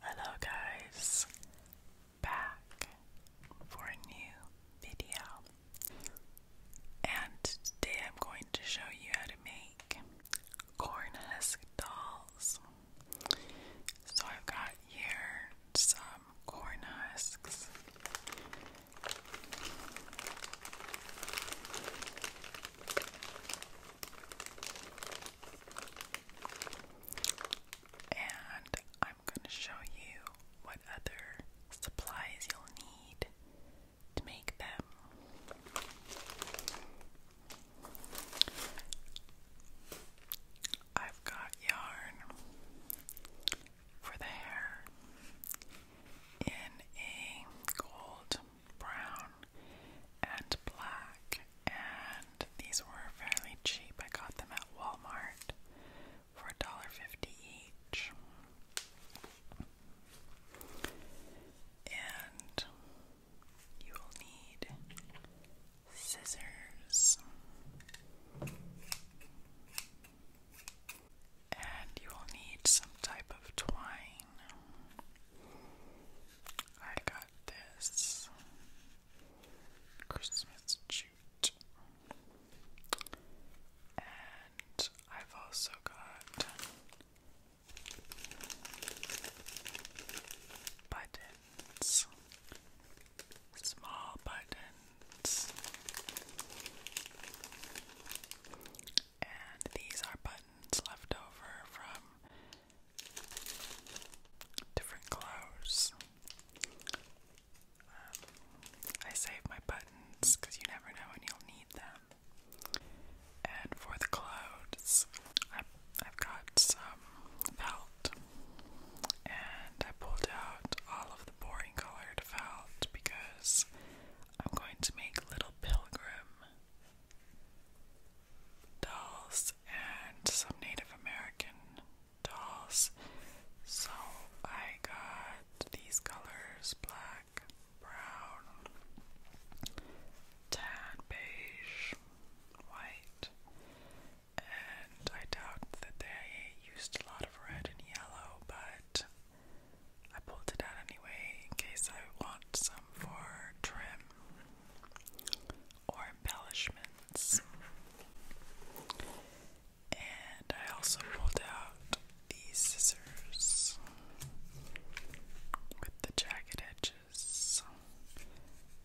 Hello guys, back for a new video and today I'm going to show you how to make corn dolls. So I've got here some corn husks. And I'm going to show you what other supplies you'll need to make them. I've got yarn for the hair in a gold, brown, and black, and these were fairly cheap. I got them at Walmart for $1.50 each. And you will need scissors. And you will need some type of twine. I got got this Christmas jute. And I've also got buttons, small buttons, and these are buttons left over from different clothes. Um, I save my buttons because you never know when you'll need them. And for the clothes, I, I've got some felt, and I pulled out all of the boring colored felt because I'm going to make Little Pilgrim dolls and some Native American dolls. So I got these colors black, brown, tan, beige, white, and I doubt that they used a lot of red and yellow, but I pulled it out anyway in case I want some for trim or embellishments. And I also pulled out these scissors with the jagged edges.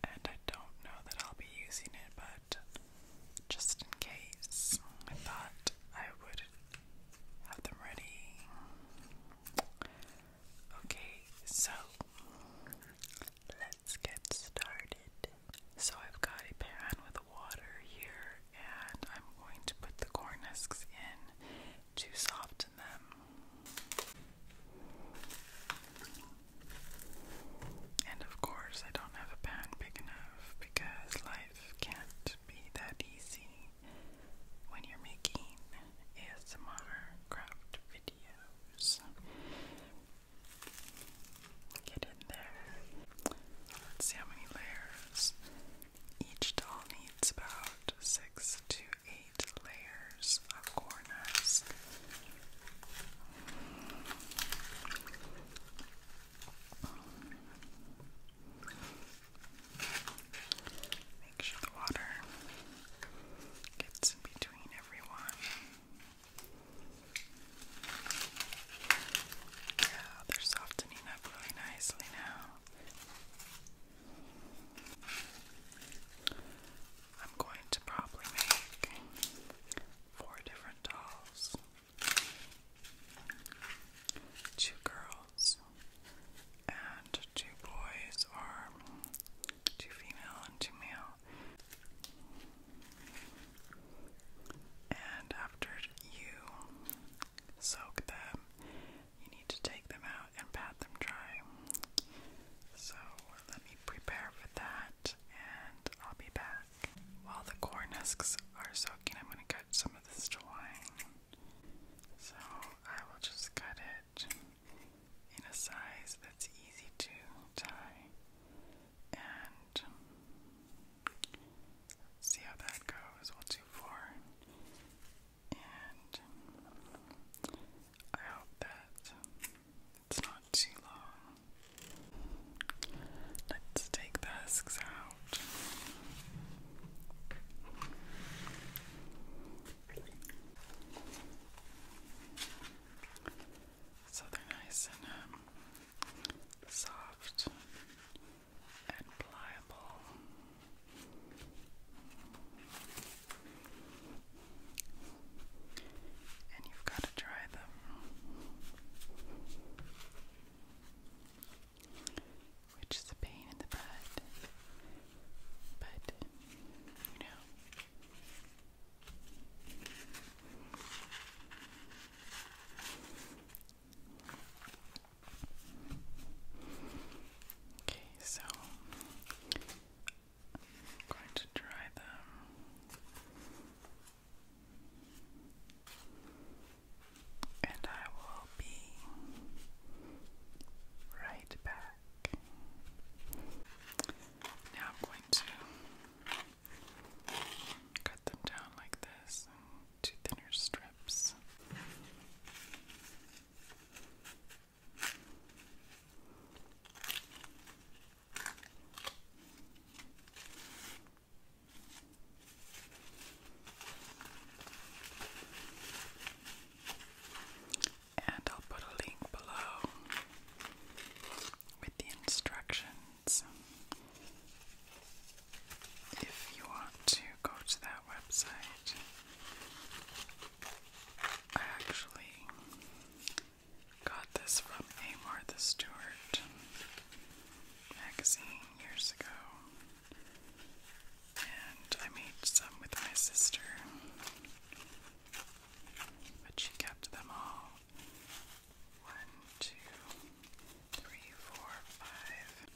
And I don't know that I'll be using it, but just in case, I thought I would have them ready. Okay, so let's get started. So I've got a pan with water here and I'm going to put the corn husks in to soften them. And of course, I don't have a pan big enough because life can't be that easy when you're making ASMR craft video nose. Get in there. Let's see how many layers. Each doll needs about six to eight layers of corners. Make sure the water gets in between everyone. Yeah, they're softening up really nicely now. I'm going to probably make four different dolls two girls and two boys, or two female and two male. And after you soak them, you need to take them out and pat them dry. So let me prepare for that and I'll be back. While the corn husks are soaking, I'm going to cut some of this twine. So I will just cut it in a size that's easy to tie. And see how that goes. we And I hope that it's not too long. Let's take the husks out. So they're nice and um, soft and pliable. And you've got to try them. Which is the pain in the butt. But, you know, Okay, so I'm going to dry them. And I will be right back. Now I'm going to cut them down like this into thinner strips and I'll put a link below with the instructions if you want to go to that website. I actually got this from a Martha Stewart magazine years ago. And I made some with my sister. But she kept them all. One, two, three, four, five.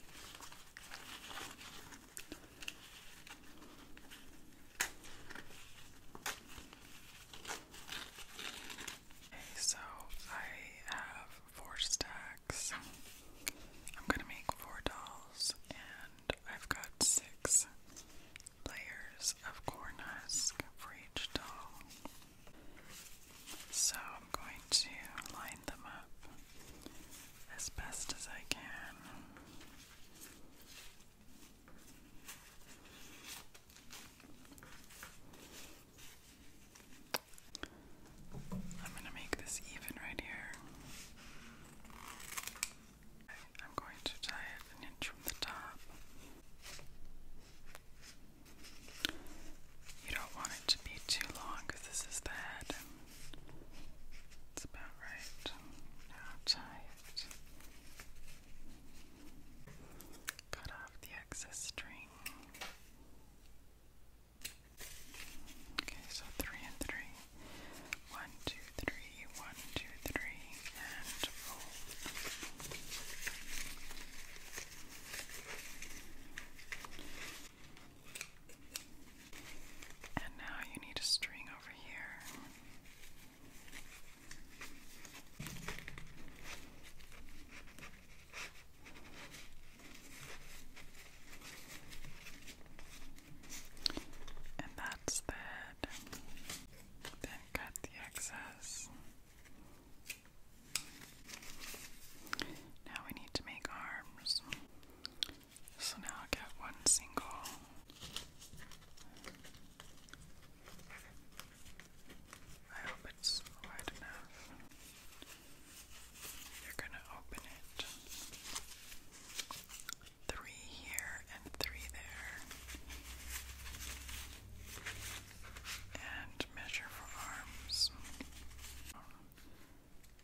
Okay, so I have four stacks. I'm gonna make four dolls and I've got six layers of corn husk for each doll. So I'm going to line them up as best as I can. I'm going to make this even right here. I'm going to tie it an inch from the top. You don't want it to be too long this is the head. It's about right. Now tie it. Cut off the excess string. Okay, so three and three. One, two, three one, two, three, and four. And now you need a string over here. And that's the then cut the excess. Now we need to make arms. So now get one single. I hope it's wide enough. You're going to open it three here and three there. And measure for arms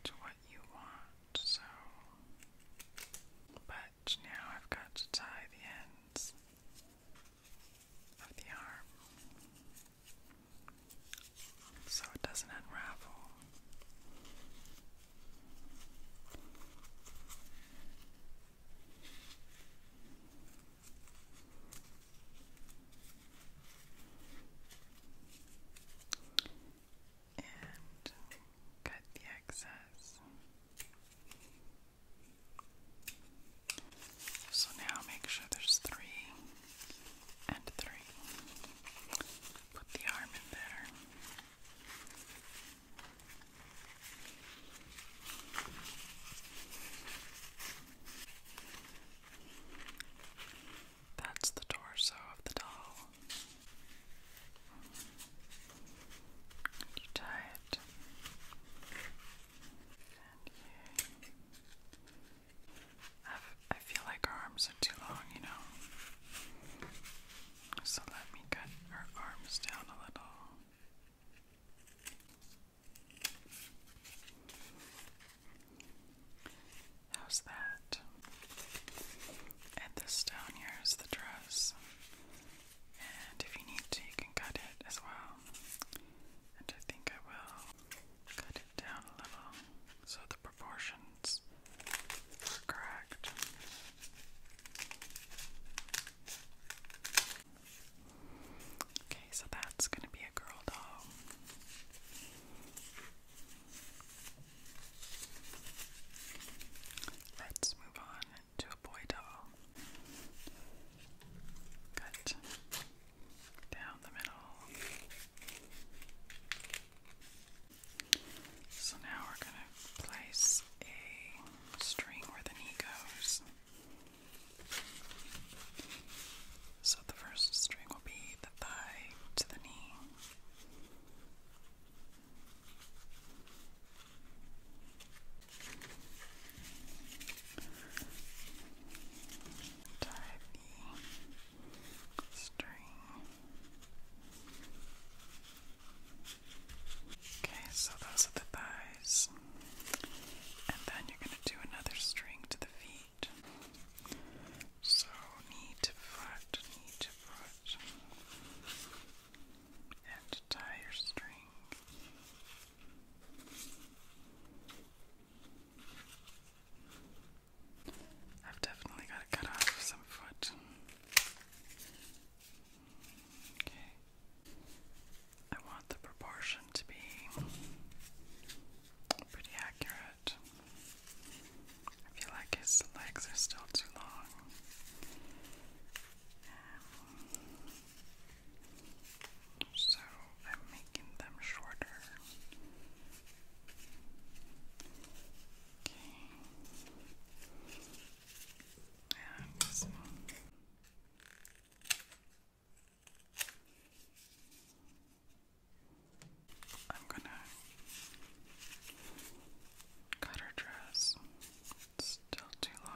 to what you want, so. But now I've got to tie the ends of the arm so it doesn't unravel and cut the excess. So now make sure there's three and three. Put the arm in there. That's the torso of the doll. You tie it. I feel like her arms are too long, you know. So let me cut her arms down a little. How's that? And this down here is the dress. And if you need to, you can cut it as well. And I think I will cut it down a little so the proportions are correct. Okay, so that's going to be a girl doll. Let's move on to a boy doll. Cut down the middle. So now we're going to place a string where the knee goes. So the first string will be the thigh to the knee. Tie the string Okay, so those are the thighs. And then you're going to do another string to the feet. So knee to foot, knee to foot. And tie your string. I've definitely got to cut off some foot. Okay. I want the proportion to be pretty accurate. I feel like his legs are still too long. Um, so I'm making them shorter. Okay. I'm gonna cut her dress. It's still too long.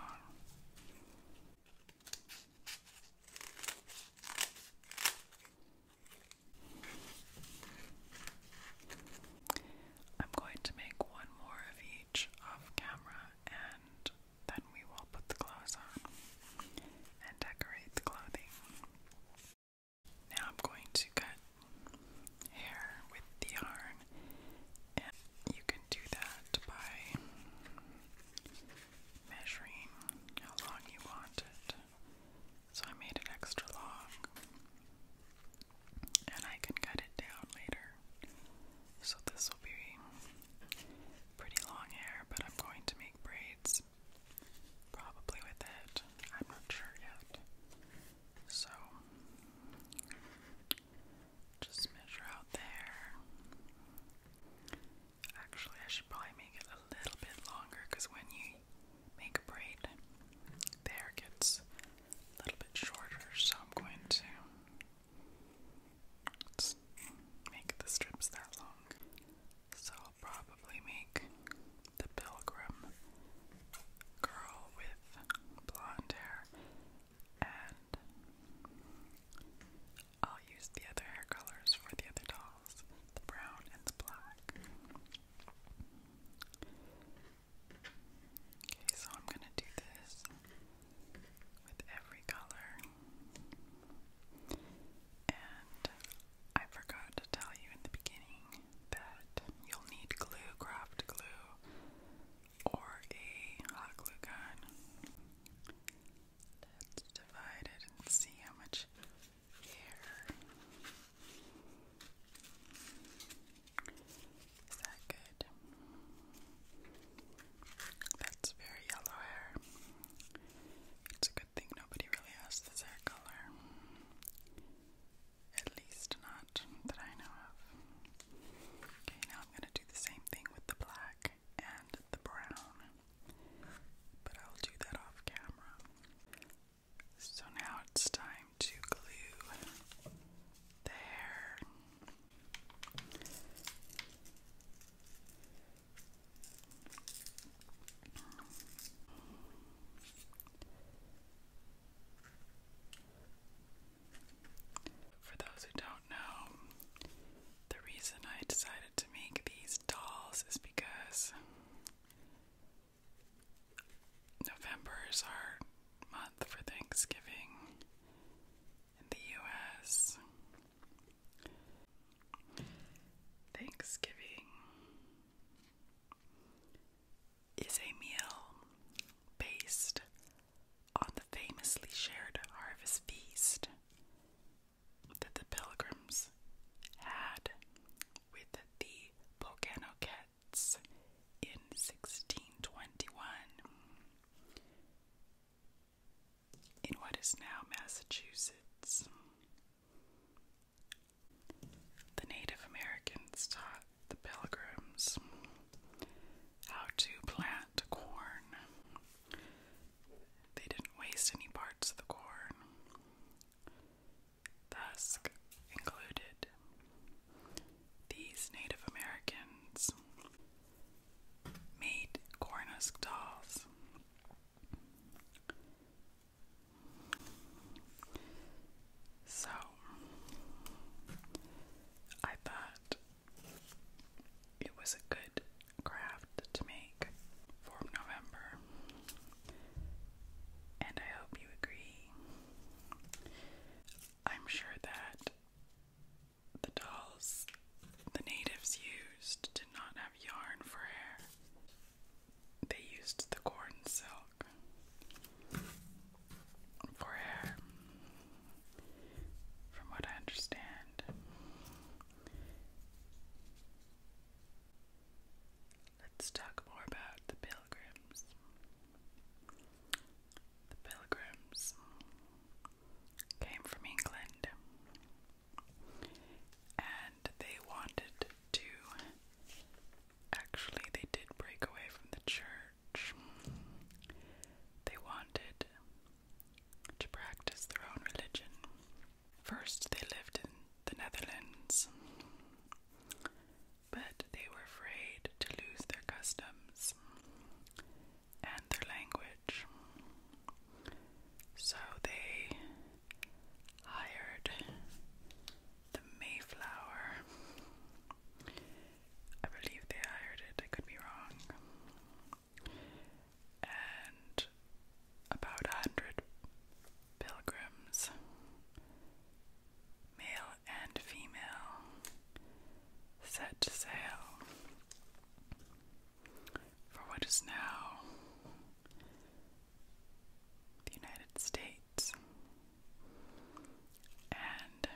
I'm going to make one more of each off camera and then we will put the clothes on and decorate the clothing. Now I'm going to cut hair with the yarn, and you can do that by measuring how long you want it. So I made it extra long and I can cut it down later. So this will be pretty long hair, but I'm going to make braids probably with it. I'm not sure yet. So just measure out there. Actually, I should probably make it a little bit longer because when you make a braid, the hair gets a little bit shorter, so I'm going to make the strips that long. So I'll probably make the pilgrim girl with blonde hair, and I'll use the other hair colors for the other dolls the brown and black. Okay, so I'm going to do this with every color. And I forgot to tell you in the beginning that you'll need glue, craft glue, or a hot glue gun. Let's divide it and see how much hair. Is that good? That's very yellow hair. It's a good thing nobody really has this hair color. At least not that I know of. Okay, now I'm gonna do the same thing with the black and the brown. But I'll do that off camera. So now it's time to glue there. For those who don't know, the reason I decided to make these dolls is because Novembers are month for Thanksgiving in the US. Thanksgiving is a meal based on the famously shared harvest feast that the pilgrims had with the Pokanoket in 1621 in what is now Massachusetts. The Native Americans taught the pilgrims how to plant corn. They didn't waste any parts of the corn. Thus included these Native Americans made corn dolls. So I thought it was a good craft to make for November, and I hope you agree. I'm sure that the dolls the natives used did not have yarn for hair, they used the corn silk for hair, from what I understand. Let's talk more about the Bill the Pilgrims came from England and they wanted to. Actually, they did break away from the church. They wanted to practice their own religion. First, they lived in the Netherlands but they were afraid to lose their customs and their language. So they hired the Mayflower. I believe they hired it, I could be wrong. And about a hundred pilgrims, male and female set sail for what is now the United States and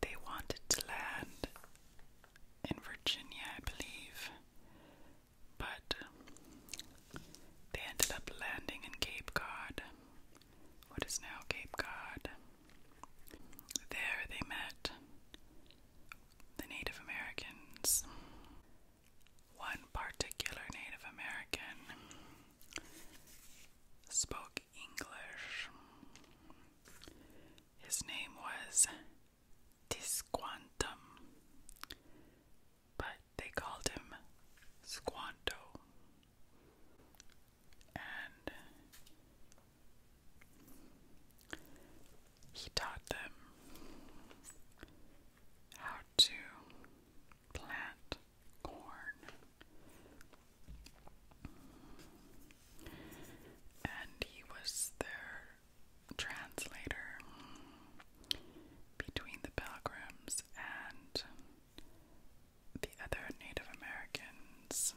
they wanted to land in Virginia, I believe, but they ended up landing in Cape Cod what is now Cape Cod. There they met the Native Americans. One particular Native American spoke English. His name was Tisquantum, but they called him Squanto and he taught them how to plant corn, and he was their translator between the pilgrims and the other Native Americans.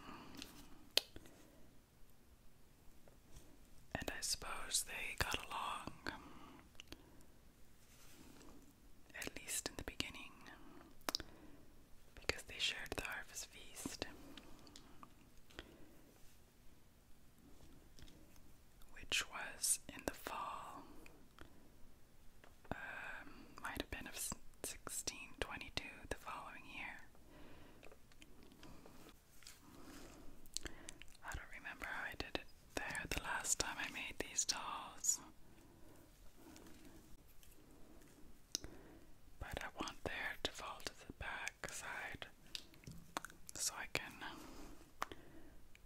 And I suppose they got along, at least in the beginning, because they shared the harvest feast, which was in the fall um, might have been of 1622, the following year. I don't remember how I did it there the last time I made these dolls. But I want there to fall to the back side so I can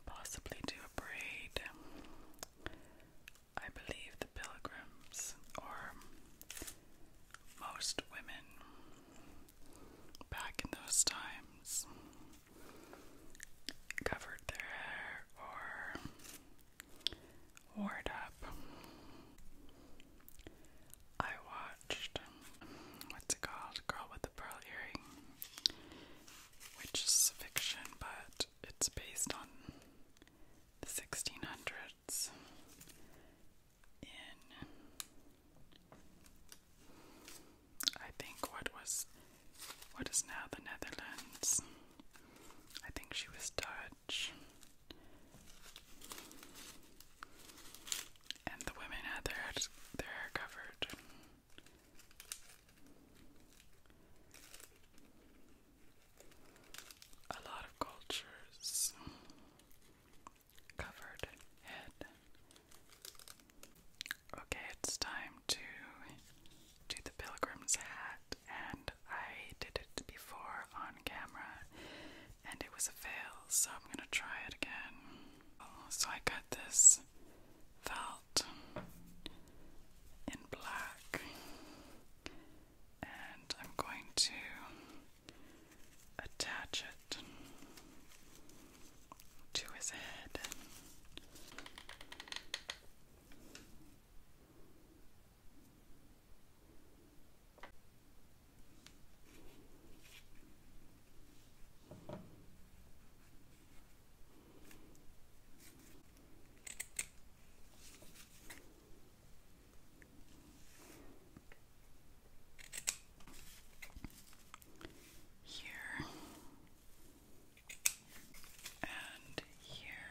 possibly do a braid I believe the pilgrims, or most women back in those times, covered their hair or wore it up. I watched, what's it called? Girl with the Pearl Earring, which is fiction, but it's based on the 1600s in, I think, what was what is now the Netherlands. I think she was Dutch. And the women had their their hair covered. A lot of cultures covered head. Okay, it's time to do the pilgrim's hat, and I did it before on camera, and it was a fail, so I'm gonna try it again. so I got this felt in black, and I'm going to attach it to his head. Here and here.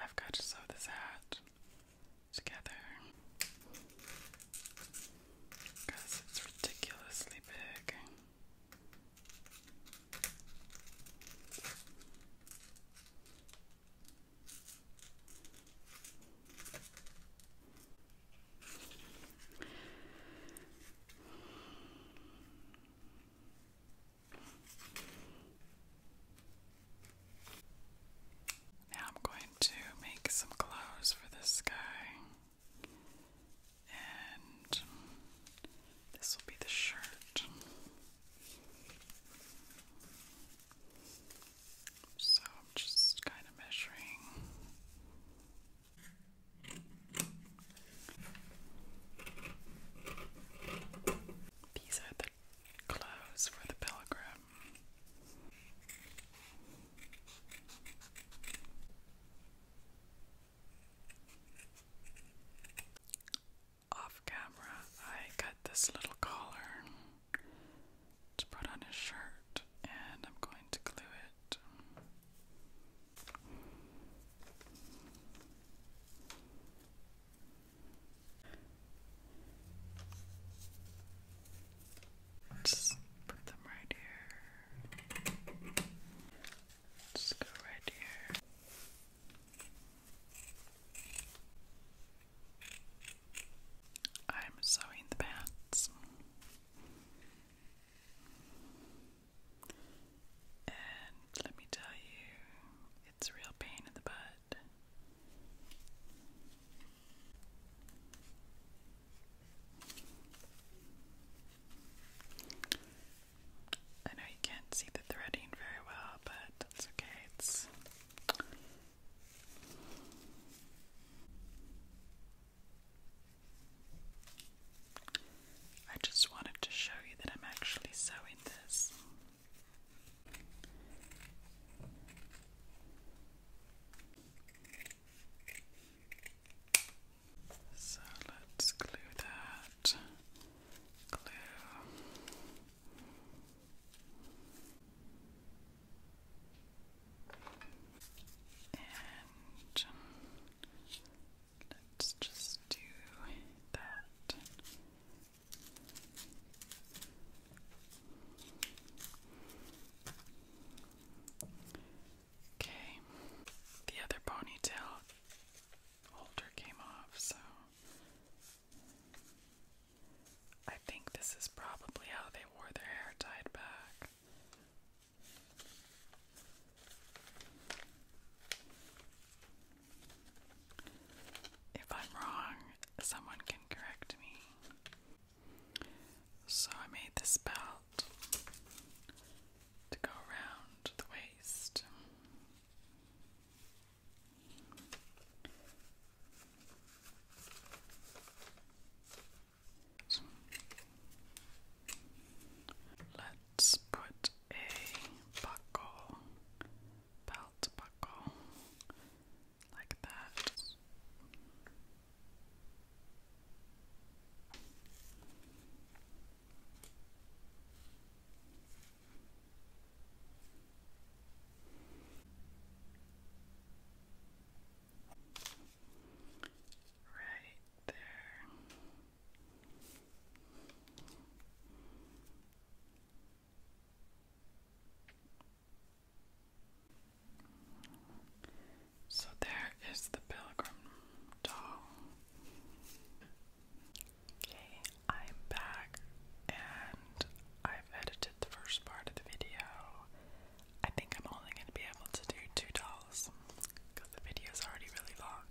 I've got to sew this hat together because it's ridiculously big. Now I'm going to make some clothes for this guy. And this will be the shirt. So I'm just kind of measuring. These are the clothes for the pilgrim. Off camera, I cut this little collar to put on his shirt, and I'm going to glue it. Just put them right here. Just go right here. I'm sewing the pants. And let me tell you, it's real pain in the butt I know you can't see the threading very well, but that's okay. It's I just wanted to show you that I'm actually sewing this. So let's glue that. Glue. And let's just do that Okay, the other ponytail holder came off, so I think this is probably how they wore their hair tied back. If I'm wrong, someone can correct me. So I made this belt to go around the waist. Let's put a buckle belt buckle like that. Right there. So there is the pilgrim doll. Okay, I'm back and I've edited the first part of the video. I think I'm only going to be able to do two dolls because the video is already really long.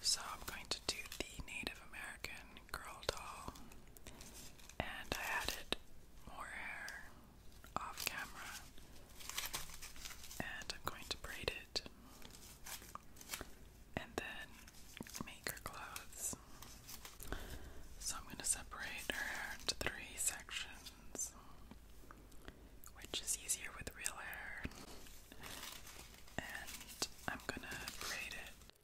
So I'm going to do the Native American girl doll, and I added more hair off camera, and I'm going to braid it and then make her clothes. So I'm going to separate her hair into three sections, which is easier with real hair, and I'm going to braid it.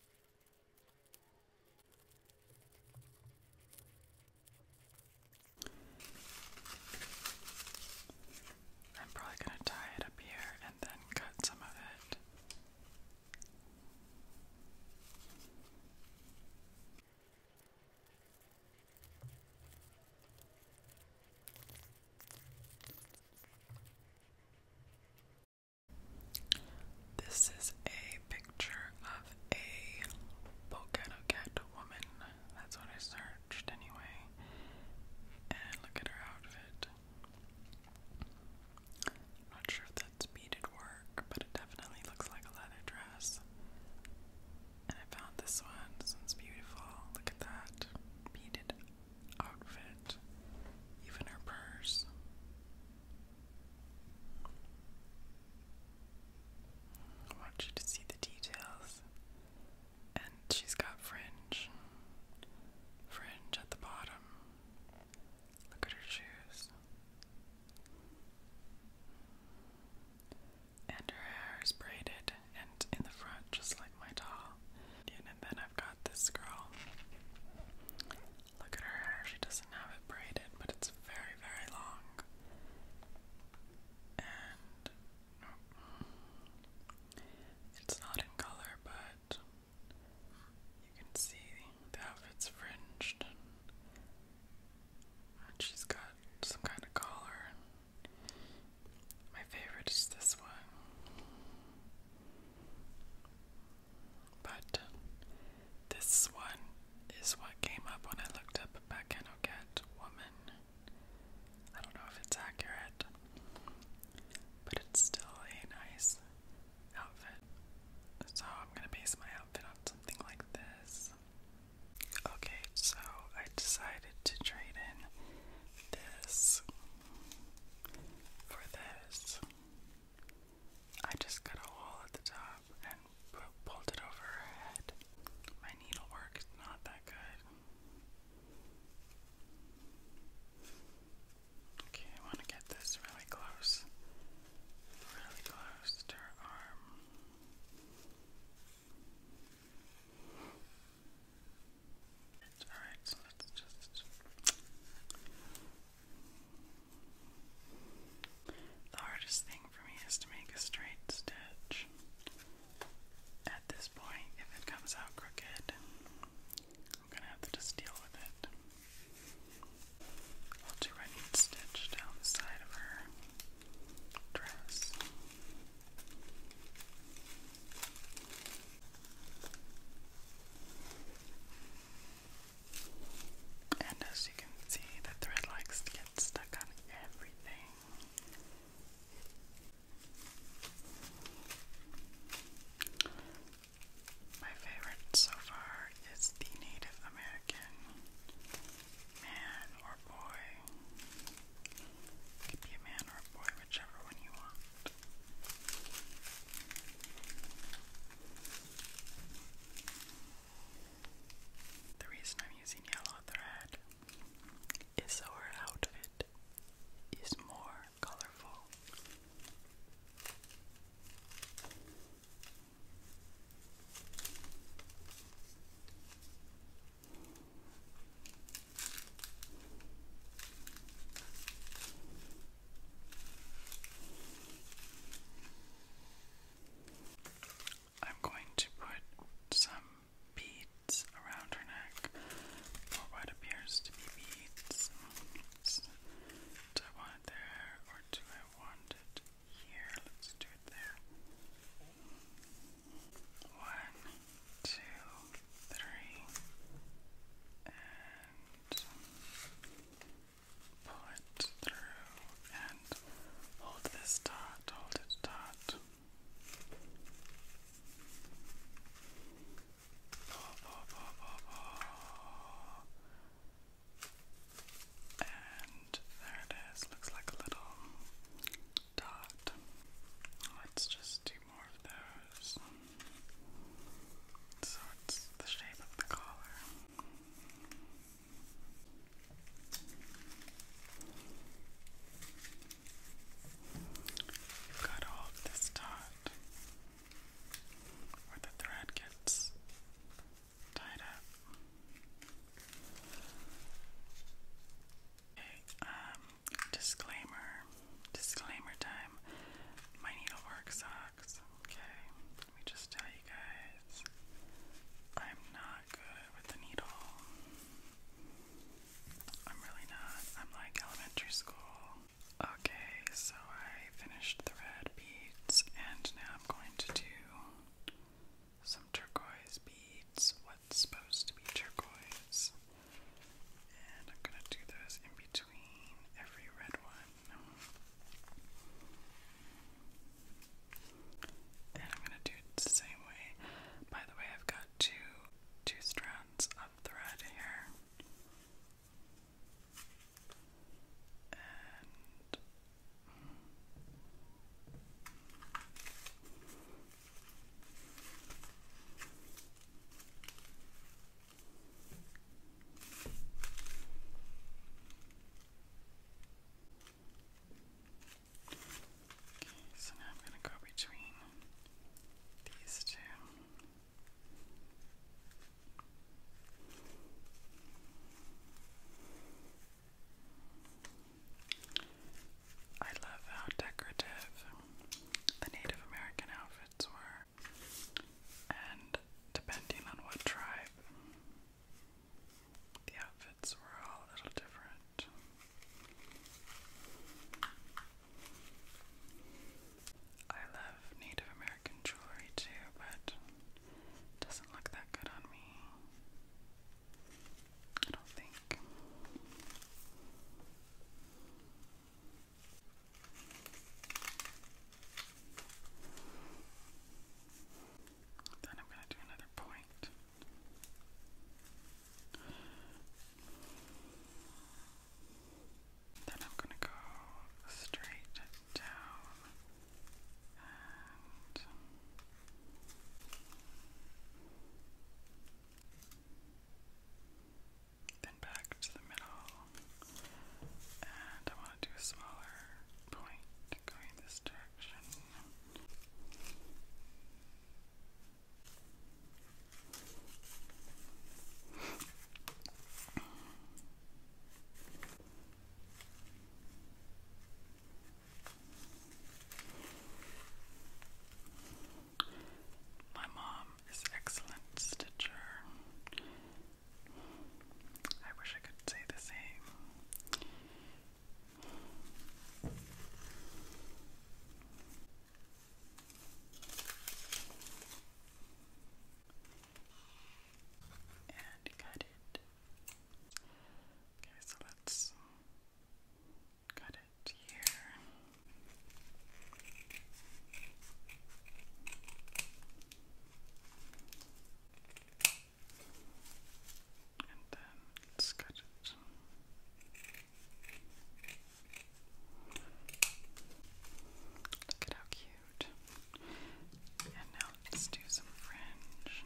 I'm probably going to tie it up here and then cut some of it. This is a picture of a Volcano Cat woman. That's what I searched anyway. And look at her outfit. not sure if that's beaded work, but it definitely looks like a leather dress. And I found this one. This one's beautiful. Look at that. Beaded outfit, even her purse. I want you to see the details. And she's got fringe. Fringe at the bottom. Look at her shoes. And her hair is braided and in the front, just like my doll. And then I've got this girl. Look at her hair, she doesn't have it braided, but it's very, very long. And it's not in color, but you can see the outfit's fringed. And she's got some kind of collar. My favorite is this one. But uh, this one is what came up when I looked up Bacano Cat Woman. I don't know if it's accurate, but it's still a nice outfit. So I'm gonna base my outfit on something like this. Okay, so I decided to trade in this for this. I just cut a hole at the top and pulled it over her head. My needlework is not that good. Okay, I want to get this really close. Really close to her arm. Alright, so let's just the hardest thing for me is to make a straight stitch. At this point, if it comes out crooked, I'm gonna have to just deal with it. I'll do a neat stitch down the side of her dress. And as you can see, the thread likes to get stuck on everything. My favorite so far is the Native American man or boy. It could be a man or a boy, whichever one you want. The reason I'm using yellow thread is so outfit is more colorful. I'm going to put some beads around her neck, or what appears to be beads. Do I want it there, or do I want it here? Let's do it there. One, two, three, and Put through and hold this dot, hold it dot. Pull, pull, pull, pull, pull. And there it is. Looks like a little dot. Let's just do more of those. So the shape of the collar. You've got all of this dot where the thread gets tied up. Okay, um, disclaimer, disclaimer time. My needlework's uh, Okay, let me just tell you guys, I'm not good with the needle. I'm really not. I'm like elementary school. Okay, so I finished the red beads, and now I'm going to do some turquoise beads. What's supposed to be turquoise? And I'm going to do those in between every red one. And I'm going to do the same way. By the way, I've got two two strands of thread here. And Okay, so now I'm going to go between these two. I love how decorative the Native American outfits were and depending on what tribe, the outfits were all a little different. I love Native American jewelry too, but it doesn't look that good on me. I don't think. Then I'm going to do another point. Then I'm going to go straight down then back to the middle, and I want to do a smaller point going this direction. My mom is excellent, Stitcher. I wish I could say the same. And cut it. Okay, so let's cut it here. And then let's cut it. Look at how cute. And now let's do some fringe.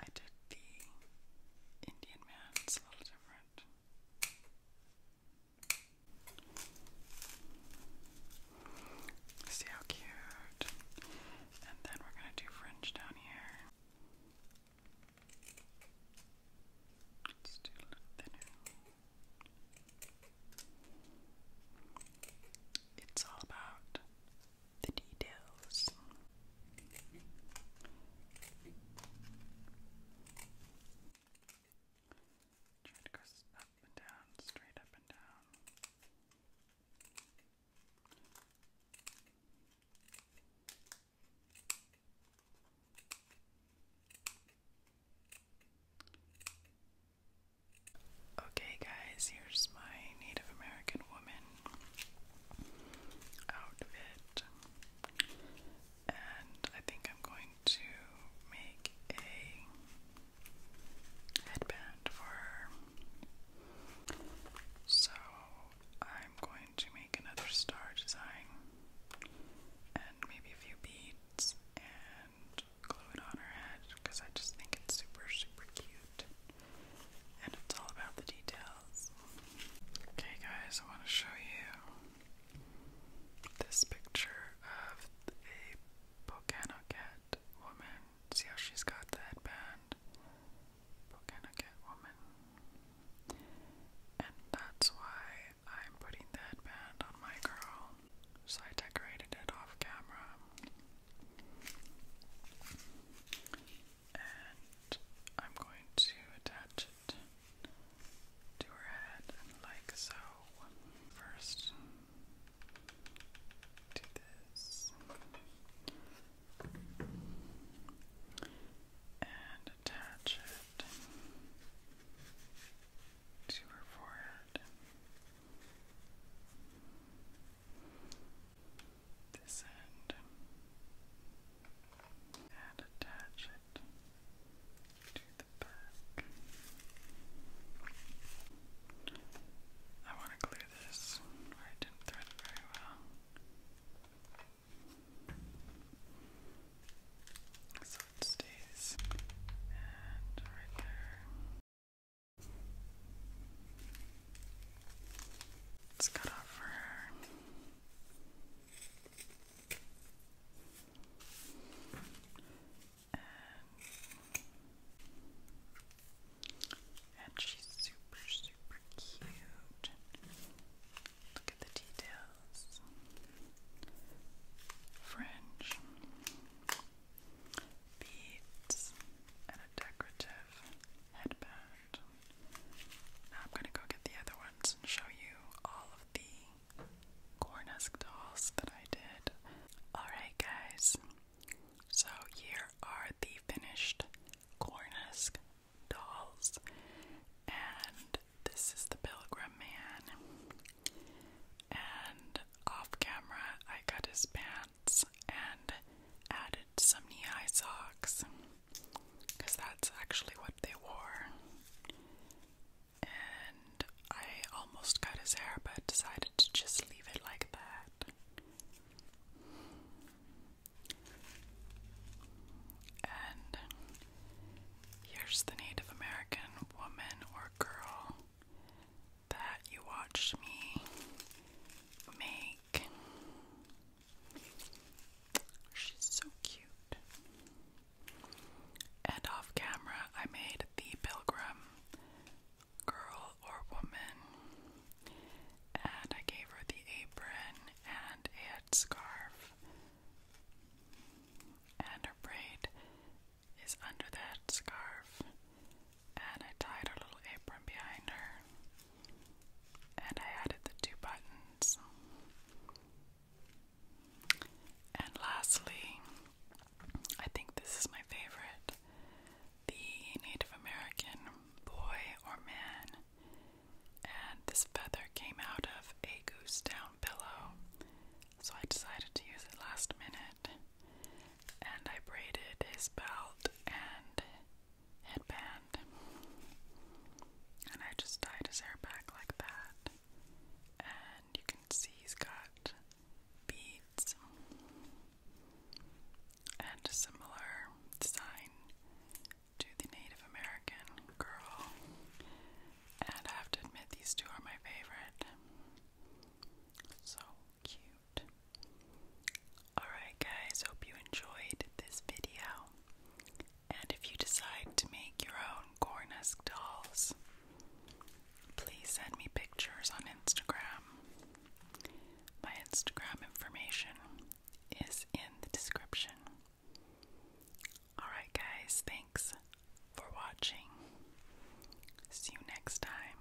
I did the Indian man, it's a little different. See how cute. And then we're going to do fringe down here. Let's do a little thinner. It's all about the details. Try to go up and down, straight up and down. Okay, guys, here's my Native American woman out And I think I'm going to make a headband for her. So I'm going to make another star design and maybe a few beads and glue it on her head because I just think it's super, super cute and it's all about the details. Okay, guys, I want to show you this picture of a Volcano Cat woman. See how she's got the headband? Volcano Cat woman. And that's why I'm putting the headband on my girl. So I decorated it off camera. And I'm going to attach it to her head, like so. First, do this. And attach it to her forehead this end and attach it to the back. I want to glue this where I didn't thread very well. So it stays, and right there, Let's cut off her. And, and she's super, super cute. Look at the details. Fringe, beads, and a decorative headband. I'm gonna go get the other ones and show you all of the Cornesk dolls that I did. Alright, guys, so here are the finished Cornesk dolls, and this is the Pilgrim Man. And off camera, I cut his pan and added some knee high socks because that's actually what they wore. And I almost cut his hair but decided to just leave it like that. And here's the Native American woman or girl that you watched me make. She's so cute. And off camera, I made the pilgrim girl or woman, and I gave her the apron and a scarf. And her braid is under the scarf, and I tied a little apron behind her, and I added the two buttons. And lastly, I think this is my favorite the Native American boy or man. And this feather came out of a goose down pillow, so I decided to use it last minute. And I braided his belt and headband. And I just dyed his hair back like that. And you can see he's got beads and a similar design to the Native American girl. And I have to admit, these two are my favorite. So cute. Alright, guys, hope you enjoyed this video. And if you decide to make your own corn dolls, please send me pictures on Instagram. My Instagram information is in the description. Alright, guys, thanks for watching. See you next time.